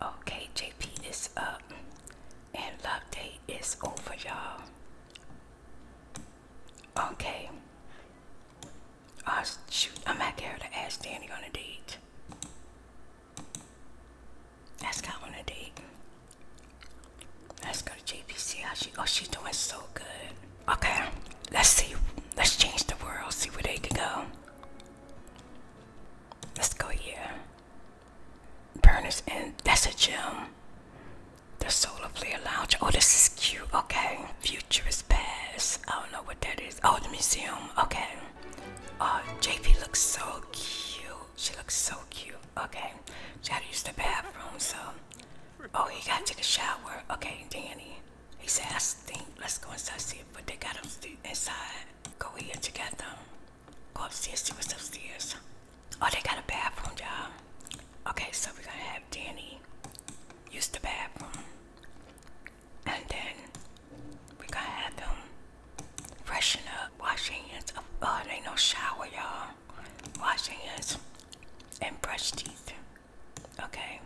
Okay, JP is up and love date is over, y'all. Okay. Oh, shoot, I'm not here to ask Danny on a date. Ask out on a date. Let's go to JPC. Oh, she's doing so good. Okay, let's see. Let's change the world. See where they can go. Let's go here. Burners in. that's a gym. The solar player lounge. Oh, this is cute. Okay, futurist past. I don't know what that is. Oh, the museum. Okay. Oh, uh, JP looks so cute. She looks so cute. Okay, she had the bathroom, so Oh, he got to take a shower. Okay, Danny. He said, I stink. Let's go inside see if but they got him inside. Go in to get them. Go upstairs, see what's upstairs. Oh, they got a bathroom, y'all. Okay, so we're gonna have Danny use the bathroom. And then we're gonna have them freshen up, wash hands. Oh, there ain't no shower, y'all now wash your hands and brush teeth. Okay,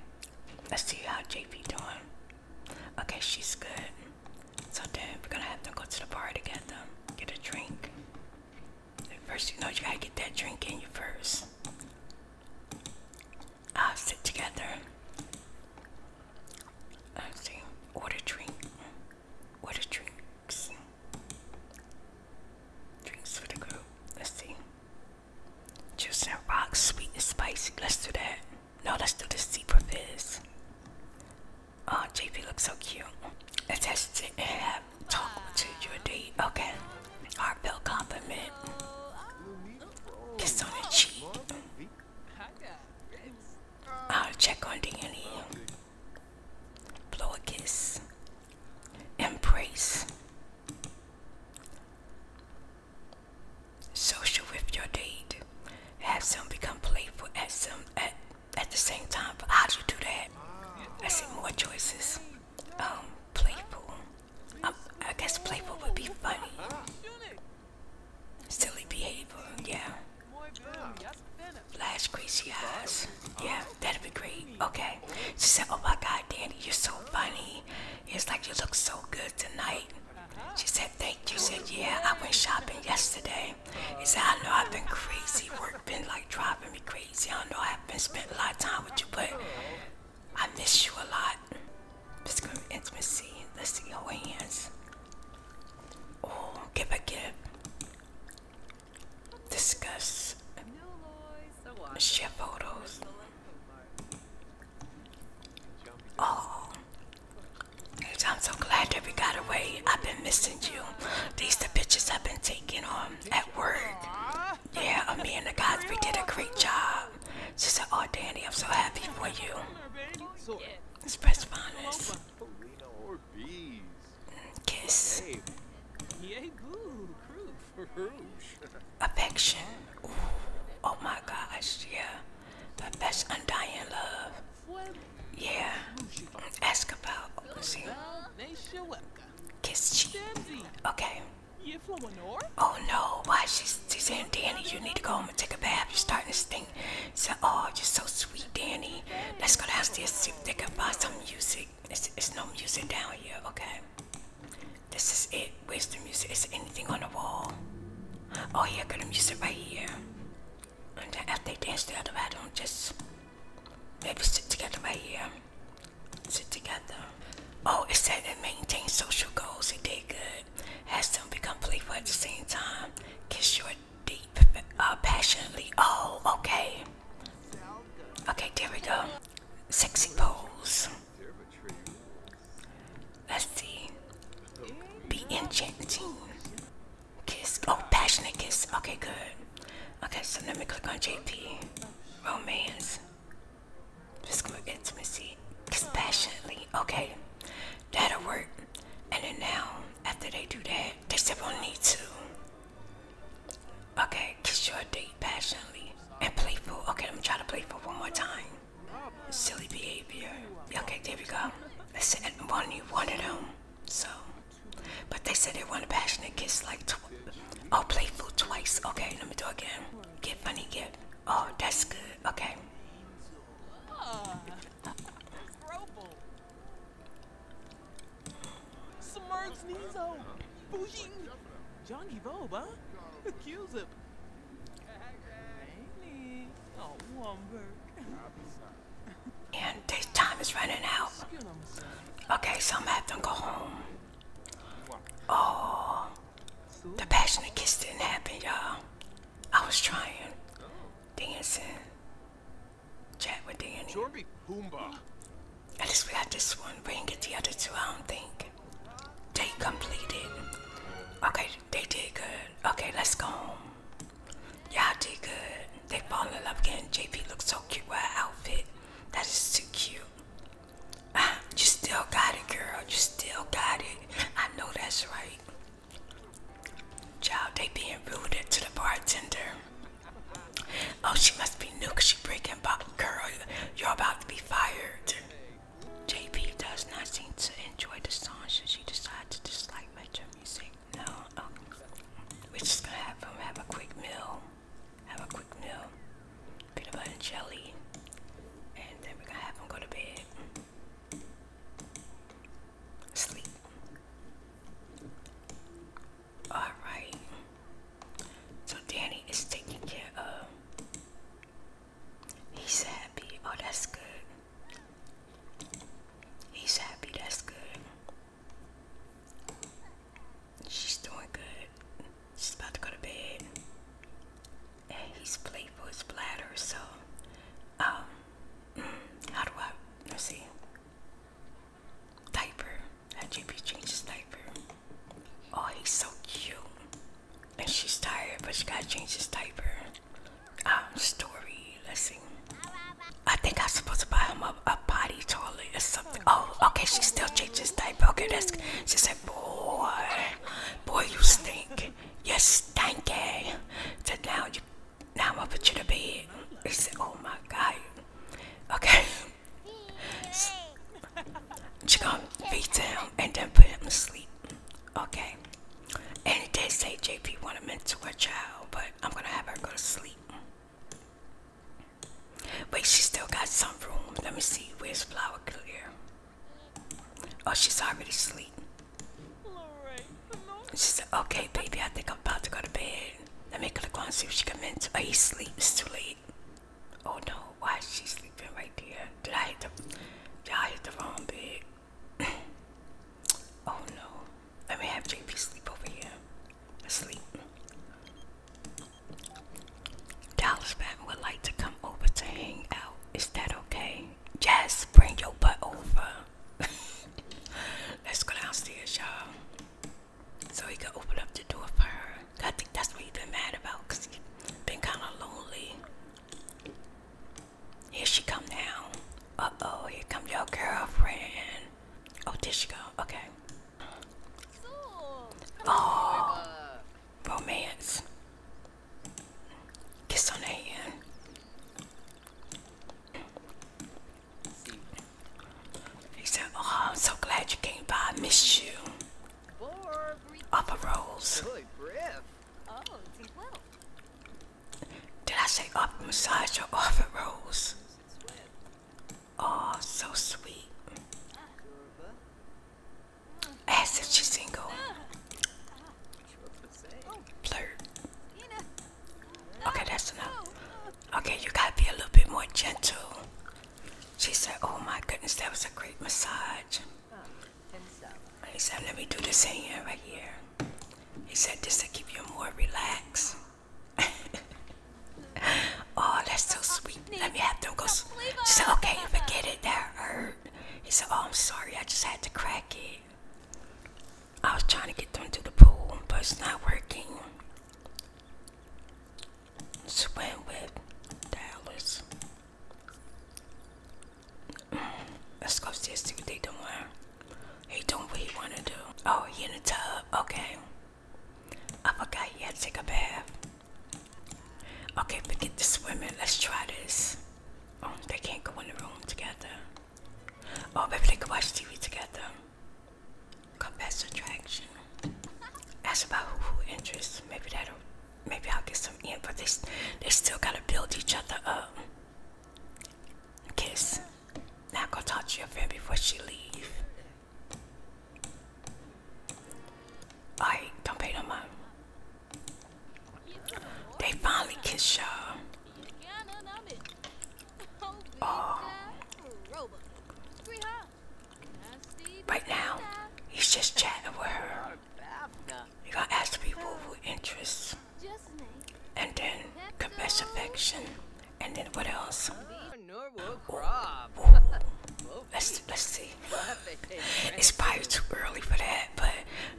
let's see how JP doing. Okay, she's good. So then we're gonna have to go to the bar to get them, get a drink. First, you know, you gotta get that drink in you first. sit together. Let's see. What a drink. What a drink drinks. for the group. Let's see. Juice and rocks, sweet and spicy. Let's do that. No, let's do the super fizz. Oh, uh, JP looks so cute. It has to have talk to your date. Okay. Heartfelt compliment. Kiss on the cheek. I'll check on DNA blow a kiss, embrace, social with your date, have some become playful at some at at the same time. But how do you do that? I see more choices. Um, playful. Um, I guess playful would be funny. Silly behavior, yeah. Flash crazy eyes. Yeah, that'd be great. Okay. She said, Oh my god, Danny, you're so funny. It's like you look so good tonight. She said, Thank you. She said, Yeah, I went shopping yesterday. He said, I know I've been crazy. Work been like driving me crazy. I know I have been spent a lot of time with you, but I miss you a lot. Physical intimacy. Let's see your hands. Oh, give a gift discuss, share photos, oh, I'm so glad that we got away, I've been missing you, these the pictures I've been taking on um, at work, yeah, uh, me and the guys, we did a great job, she said, oh Danny, I'm so happy for you, press finest or bees. Kiss. Affection. Oh my gosh, yeah. But that's undying love. Yeah. Ask about. See. Kiss she. Okay. Oh no, why she's, she's saying, Danny, you need to go home and take a bath. You're starting to stink. So, oh, you're so sweet, Danny. Let's go ask the see if they can find some music. It's, no music down here, okay? This is it. Where's the music? Is anything on the wall? Oh yeah, got the music right here. And after they dance the other way, don't just maybe sit together right here. Sit together. Oh, it said it maintains social goals. It did good. Has them become playful at the same time. Kiss your deep, uh, passionately. Oh, okay. Okay, there we go. Sexy pose. Let's see. Be enchanting. Kiss. Oh, passionate kiss. Okay, good. Okay, so let me click on JP. Romance. Physical intimacy. Kiss passionately. Okay, that'll work. And then now, after they do that, they said we'll need to Okay, kiss your date passionately and playful. Okay, let me try to playful one more time. Silly behavior. Okay, there we go. They said one you wanted them, so. But they said they want a passionate kiss like tw oh playful twice. Okay, let me do it again. Get funny, get. Oh, that's good. Okay. Smurfs Nizo! Oh. Bougie! Johnny Vobe, huh? Accuse him. Oh, and time is running out. Okay, so I'm gonna have to go home. Oh, the passionate kiss didn't happen, y'all. I was trying, dancing, Chat with Danny. Jordy Pumbaa. At least we got this one. We didn't get the other two, I don't think. They completed. Okay, they did good. Okay, let's go home. Y'all did good. They fall in love again. JP looks so cute with her outfit. That is too cute. Ah, you still got it, girl. You still got it. I know that's right. Child, they being rude to the bartender. Oh, she must be new cause she breaking bottle. Girl, you're about to be fired. JP does not seem to enjoy the song, so she decide to dislike metro music? No. Oh, we're just gonna have him have a quick meal. Have a quick meal. Peanut butter and jelly. And then we're gonna have him go to bed. Sleep. Alright. So Danny is taking care of. He's happy. Oh, that's good. He's happy. That's good. She's doing good. She's about to go to bed. And he's playful. His bladder. So, um, mm, how do I? Let's see diaper. That JP changes diaper. Oh, he's so cute. And she's tired, but she gotta change his diaper. Um, story. Let's see. I think I am supposed to buy him a, potty toilet or something. Oh, okay, she still changes diaper. Okay, that's she said, boy, boy, you stink. You're stinky. now you now I'm gonna put you to bed. He said, Oh my God. Okay. she gonna feed him and then put him to sleep. Okay. And it did say JP wanted me to her child, but I'm gonna have her go to sleep. Wait, she still got some room. Let me see. Where's Flower Clear? Oh, she's already asleep. She said, okay, baby, I think I'm about to go to bed. Let me click and see if she can mention. Oh, he's asleep. It's too late. Oh, no. Why is she sleeping right there? Did I hit the, did I hit the wrong bed? oh, no. Let me have JP sleep over here. Sleep. Dallas Batman would like to come over to hang out. Is that okay? Yes, bring your butt over. Let's go downstairs, y'all. So he could open up the door for her. I think that's what he's been mad about because he's been kind of lonely. Here she come now. Uh-oh, here come your girlfriend. Oh, did she go? Okay. Oh, romance. Kiss on the hand. He said, Oh, I'm so glad you came by. I missed you. Upper Rose. Did I say up massage or upper Rose? Oh, so sweet. Asked if she's single. Flirt. Okay, that's enough. Okay, you gotta be a little bit more gentle. She said, Oh my goodness, that was a great massage. He said, Let me do this in here, right here. He said, This will keep you more relaxed. oh, that's so sweet. Let me have them go. She said, Okay, get it. there." hurt. He said, Oh, I'm sorry. I just had to crack it. I was trying to get them to the pool, but it's not working. Swim with Dallas. Mm, let's go see, see what they doing. He doing what he wanna do. Oh, he in the tub. Okay. I forgot he had to take a bath. Okay, we get the swimming. Let's try this. Oh, they can't go in the room together. Oh, maybe they could watch TV together. Compass attraction. Ask about who who interests. Maybe that'll. Maybe I'll get some in. But they they still gotta build each other up. Kiss. Now go talk to your friend before she leaves. I don't pay no mind. They finally kiss y'all. Oh. Right now, he's just chatting with her. You gotta ask people who interests. And then confess affection. And then what else? Let's let's see. It's probably too early for that, but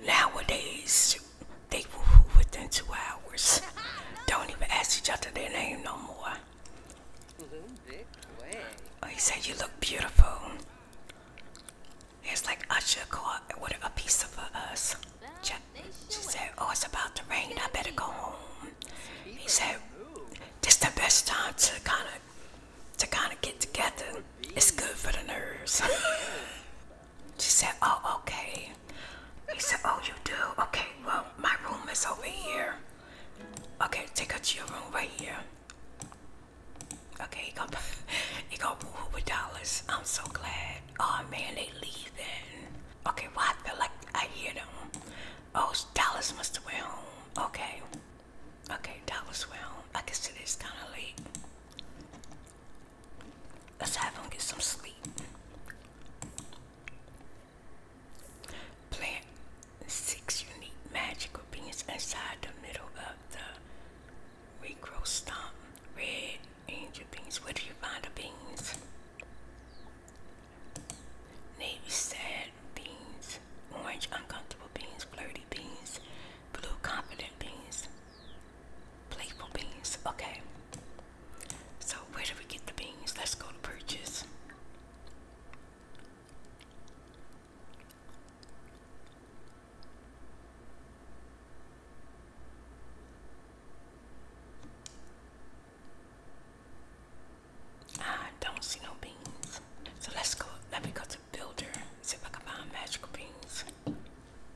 nowadays they were within two hours. Don't even ask each other their name no more. Oh, he said you look beautiful. It's like Usher caught with a pizza for us. She, she said, oh, it's about to rain. I better go home. He said, this the best time to kind of to kind of get together. It's good for the nerves. She said, Oh, okay. He said, Oh, you do? Okay, well, my room is over here. Okay, take her to your room right here. Okay, he go, he go woo with dollars. I'm so glad. Oh man, they leaving. Okay, well I feel like I hear them. Oh, Dallas must have went home. Okay, okay, Dallas went home. I guess it is kind of late. Let's have him get some sleep. Plant six unique magical beans inside the middle of the regrow stump. Red angel beans. Where do you find the beans? Navy sad beans. Orange uncomfortable beans. Flirty beans. Blue confident beans. Playful beans. Okay. So where do we get the beans? Let's go to purchase. I don't see no beans. So let's go. Let me go to builder. See if I can find magical beans.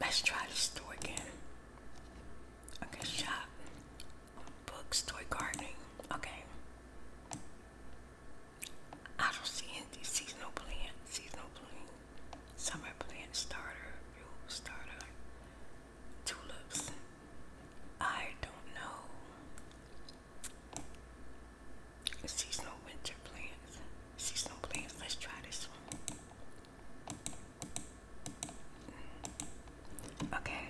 Let's try the store again. Okay, shop, books, toy gardening. Okay. I don't see any seasonal plants. seasonal plants, summer plants, starter, starter, tulips. I don't know. Seasonal winter plants, seasonal plants. Let's try this one. Okay.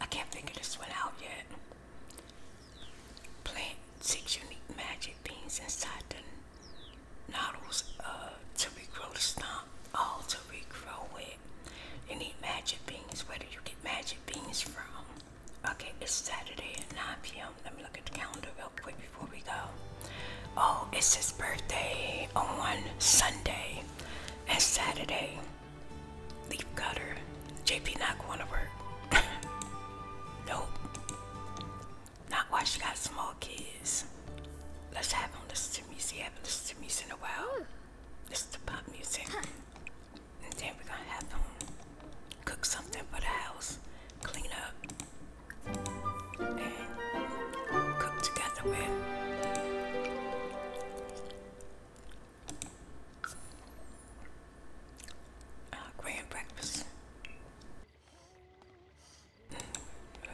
I can't figure this one out yet. Plant six unique magic beans inside the nodules uh, to regrow the stump, all to regrow with. You need magic beans. Where do you get magic beans from? Okay, it's Saturday at 9 p.m. Let me look at the calendar quick before we go. Oh, it's his birthday on one Sunday and Saturday. Leaf cutter. JP not going to work. nope. Not while she got small kids. Let's have him listen to music. I haven't listened to music in a while. Listen to pop music. And then we're gonna have him cook something for the house, clean up, and cook together with. Uh, grand breakfast.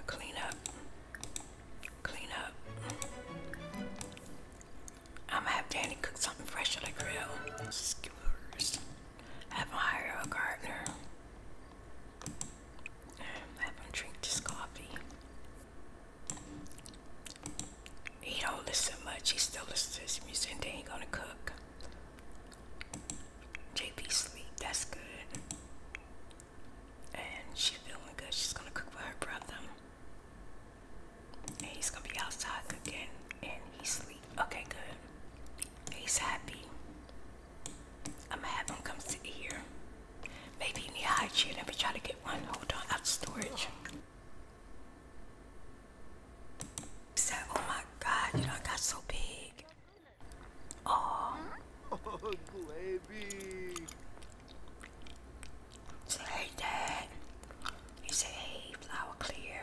Clean up. Clean up. I'm gonna have Danny cook something fresh on the grill. Skewers. Have him hire a gardener. Have him drink this coffee. He don't listen much. He still listens to his music and they ain't gonna cook. JP sleep. That's good. And she's feeling good. She's gonna cook for her brother. And he's gonna be outside cooking and he sleep. Okay, good. He's happy. I'm gonna have them come sit here. Maybe you need a high chair. Let me try to get one. Hold on, out of storage. He said, "Oh my God, you know I got so big." Oh. Oh, baby. Say, hey, Dad. He said, "Hey, flower clear."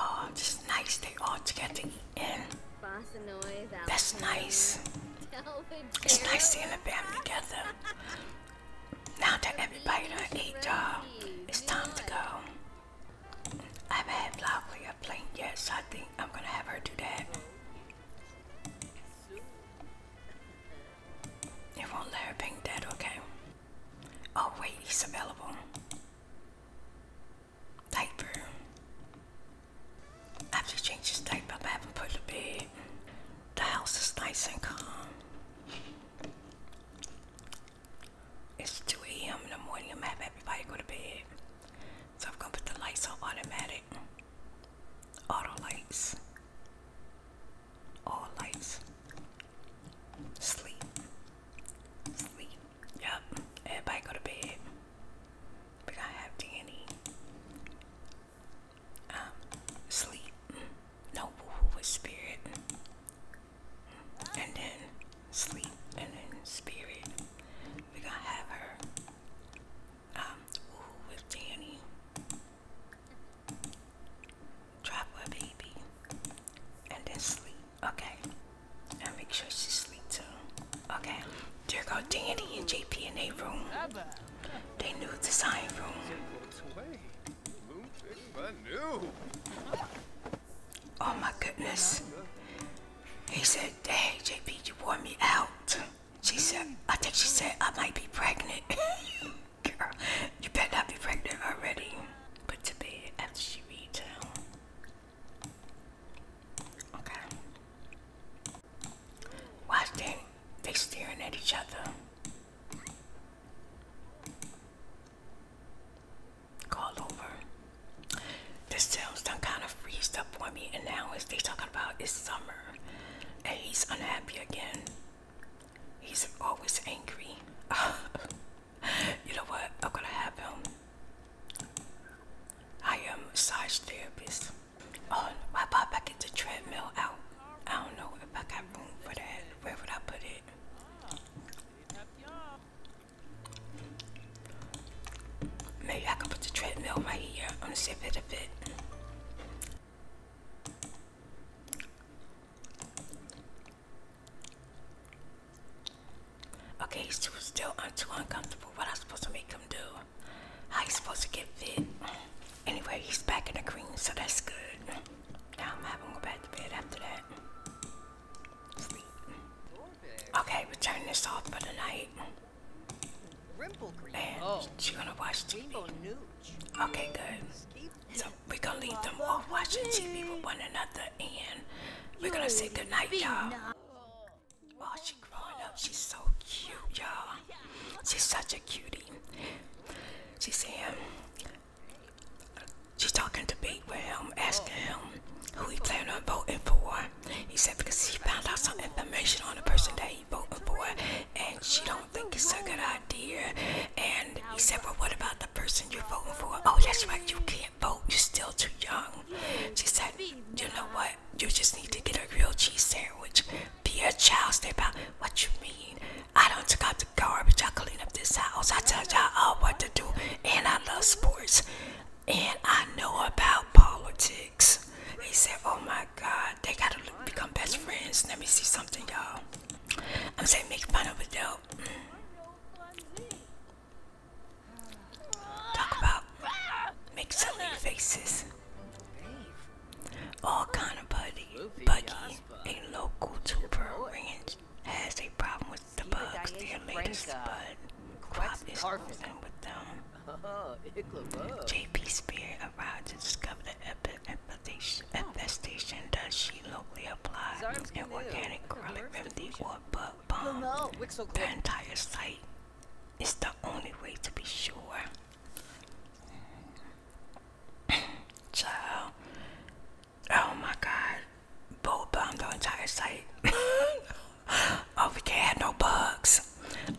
Oh, just nice. They all together to eat in. That's nice. It's nice seeing the family together. Now that everybody done ate, you uh, it's time to go. I haven't had lavia plate yet, I think I'm gonna have her do that. It won't let her ping that, okay. Oh wait, he's available. Diaper. I have to change his diaper, I haven't put to bed. The house is nice and calm. It's 2 a.m. in the morning, I'm having everybody go to bed. So I'm gonna put the lights on automatic. Auto lights. All lights. Sleep. Sleep. Yep. Everybody go to bed. We gotta have Danny. Um, sleep. No woohoo with spirit. And then sleep. And then spirit. We gotta have her. Um, with Danny. Drop her baby. And then sleep. Okay. And make sure she sleep too. Okay. There go Danny and JP in their room. They new design room. Oh my goodness. He said, Hey, JP, you wore me out. She said, I think she said, I might be pregnant. Girl, you better not be pregnant already. Put to bed after she reads. Okay. Why is they, are staring at each other? Call over the sales done kind of freezed up for me, and now as they talking about it's summer, and he's unhappy again. He's always angry. you know what? I'm gonna have him. I am a massage therapist. Oh, my pop, I get the treadmill out. I don't know if I got room for that. Where would I put it? Maybe I can put the treadmill right here on the side of the bed. Okay, he's too still I'm too uncomfortable. What I supposed to make him do? How he's supposed to get fit? Anyway, he's back in the green, so that's good. Now I'm having to go back to bed after that. Okay, we turn this off for the night. And oh. she gonna watch TV. Okay, good. So we're gonna leave them all watching TV with one another and we're gonna say goodnight, y'all. Oh, she growing up. She's so cute, y'all. She's such a cutie. She's saying, she's talking to Big with him, asking him who he plan on voting for. He said because he found out some information on the person that he voted for, and she don't think it's a good idea. And he said, well, what about the person you're voting for? Oh, that's right, you can't vote. You're still too young. She said, you know what? You just need to get a grilled cheese sandwich. Be a child. Step out. What you mean? I don't take out the garbage. I clean up this house. I tell y'all all what to do. And I love sports and I know about politics. He said, Oh my God, they gotta become best friends. Let me see something, y'all. I'm saying make fun of it though. Talk about make silly faces. All kind of buddy, buggy, a local tuber ranch has a problem with the bugs, their latest bud, crop is and with them. JP Spear arrived to discover the infestation, does she locally apply an organic garlic remedy or bug bomb. The entire site is the only way to be sure. Child, oh my god, bull bummed the entire site. oh, we can't no bugs.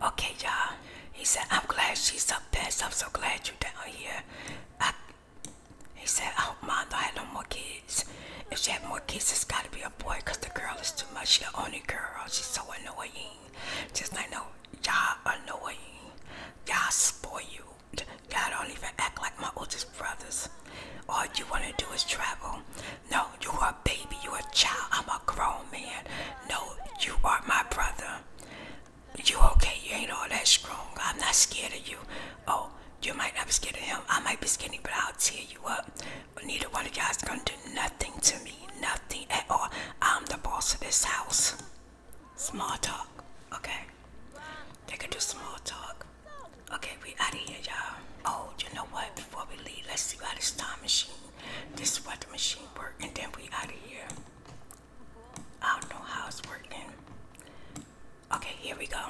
Okay, y'all. He said, I'm glad she's up past. I'm so glad you are down here. I, he said, I hope mom don't have no more kids. If she had more kids, it's gotta be a boy because the girl is too much. She's the only girl. She's so annoying. Just like, no, y'all annoying. Y'all spoiled. Y'all don't even act like my oldest brothers. All you want to do is travel. No, you are a baby. You are a child. I'm a grown man. No, you are my brother. You okay? You ain't all that strong. I'm not scared of you. Oh, you might not be scared of him. I might be skinny, but I'll tear you up. But Neither one of y'all's gonna do nothing to me. Nothing at all. I'm the boss of this house. Small talk, okay? They can do small talk. Okay, we out of here, y'all. Oh, you know what? Before we leave, let's see how this time machine. This is what the machine work, and then we out of here. I don't know how it's working. Okay, here we go.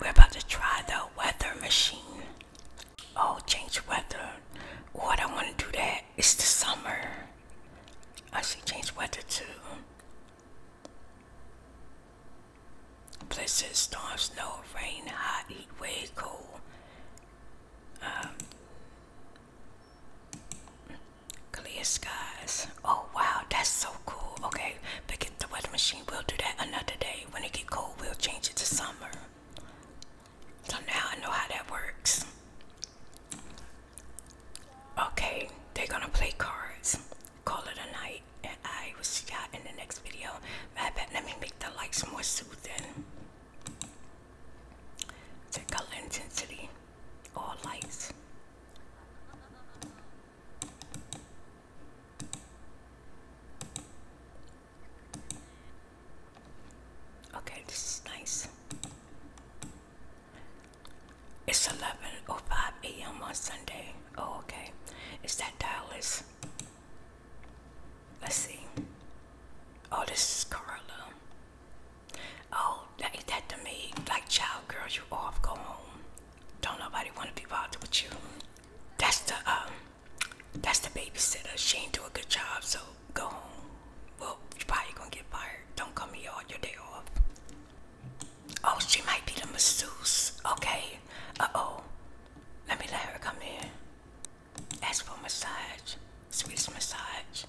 We're about to try the weather machine. Oh, change weather. What I want to do that. It's the summer. I should change weather too. Blizzard, storm, snow, rain, hot, heat, wave, cold. Um, clear skies. Oh wow, that's so cool. Okay, forget the weather machine. We'll do that another day. When it get cold, we'll change it to summer. So now I know how that works. Okay, they're gonna play cards call it a night, and I will see y'all in the next video. Matter fact, let me make the lights more soothing. The color intensity, all lights. Okay, this is nice. It's 11.05 a.m. on Sunday. Oh, okay. Is that Dallas? Let's see. Oh, this is Carla. Oh, that ain't that to me. Like child girl, you off, go home. Don't nobody wanna be bothered with you. That's the um that's the babysitter. She ain't do a good job, so go home. Well, you probably gonna get fired. Don't come here on your day off. Oh, she might be the masseuse. Okay. Uh-oh. Let me let her come in. Ask for massage. Swedish massage.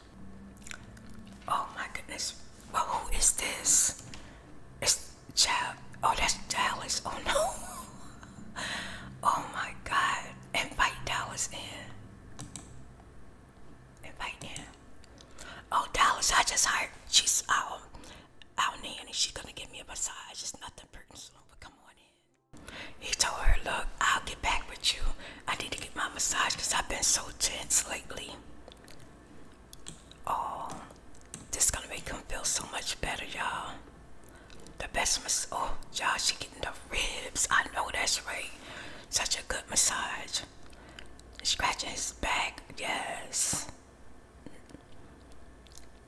Oh my goodness. Well, who is this? It's child. Oh, that's Dallas. Oh no. oh my God. Invite Dallas in. Invite in. Oh, Dallas, I just hired. She's, um, our nanny, she's gonna give me a massage. It's nothing personal, but come on in. He told her, look, I'll get back with you. I need to get my massage because I've been so tense lately. Oh, this is gonna make him feel so much better, y'all. The best massage. Oh, y'all, she getting the ribs. I know that's right. Such a good massage. Scratching his back. Yes.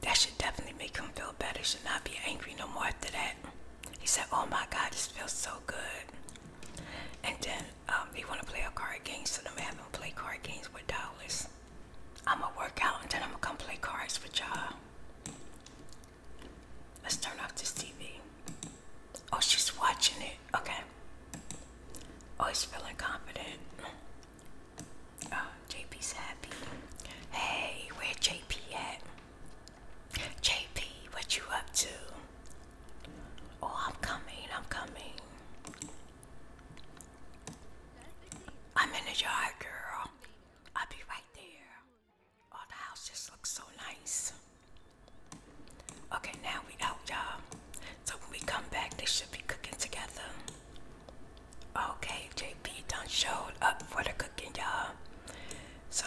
That should definitely make him feel better. Should not be angry no more after that. He said, "Oh my God, this feels so good." And then um, they want to play a card game, so them have him play card games with dollars. I'm gonna work out and then I'm gonna come play cards with y'all. Let's turn off this TV. Oh, she's watching it. Okay. Always oh, feeling confident. Oh, uh, JP's happy. Hey, where JP at? JP, what you up to? Oh, I'm coming, I'm coming. I'm in the yard, girl. I'll be right there. Oh, the house just looks so nice. Okay, now we out, y'all. So when we come back, they should be cooking together. Okay, JP don't showed up for the cooking, y'all. So,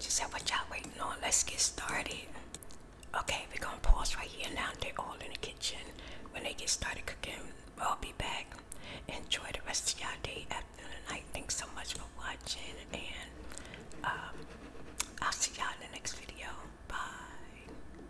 she said, what y'all waiting on? Let's get started. Okay, we're gonna pause right here now. They're all in the kitchen. When they get started cooking, I'll be back. Enjoy the rest of y'all day after the night. Thanks so much for watching, and um, I'll see y'all in the next video. Bye.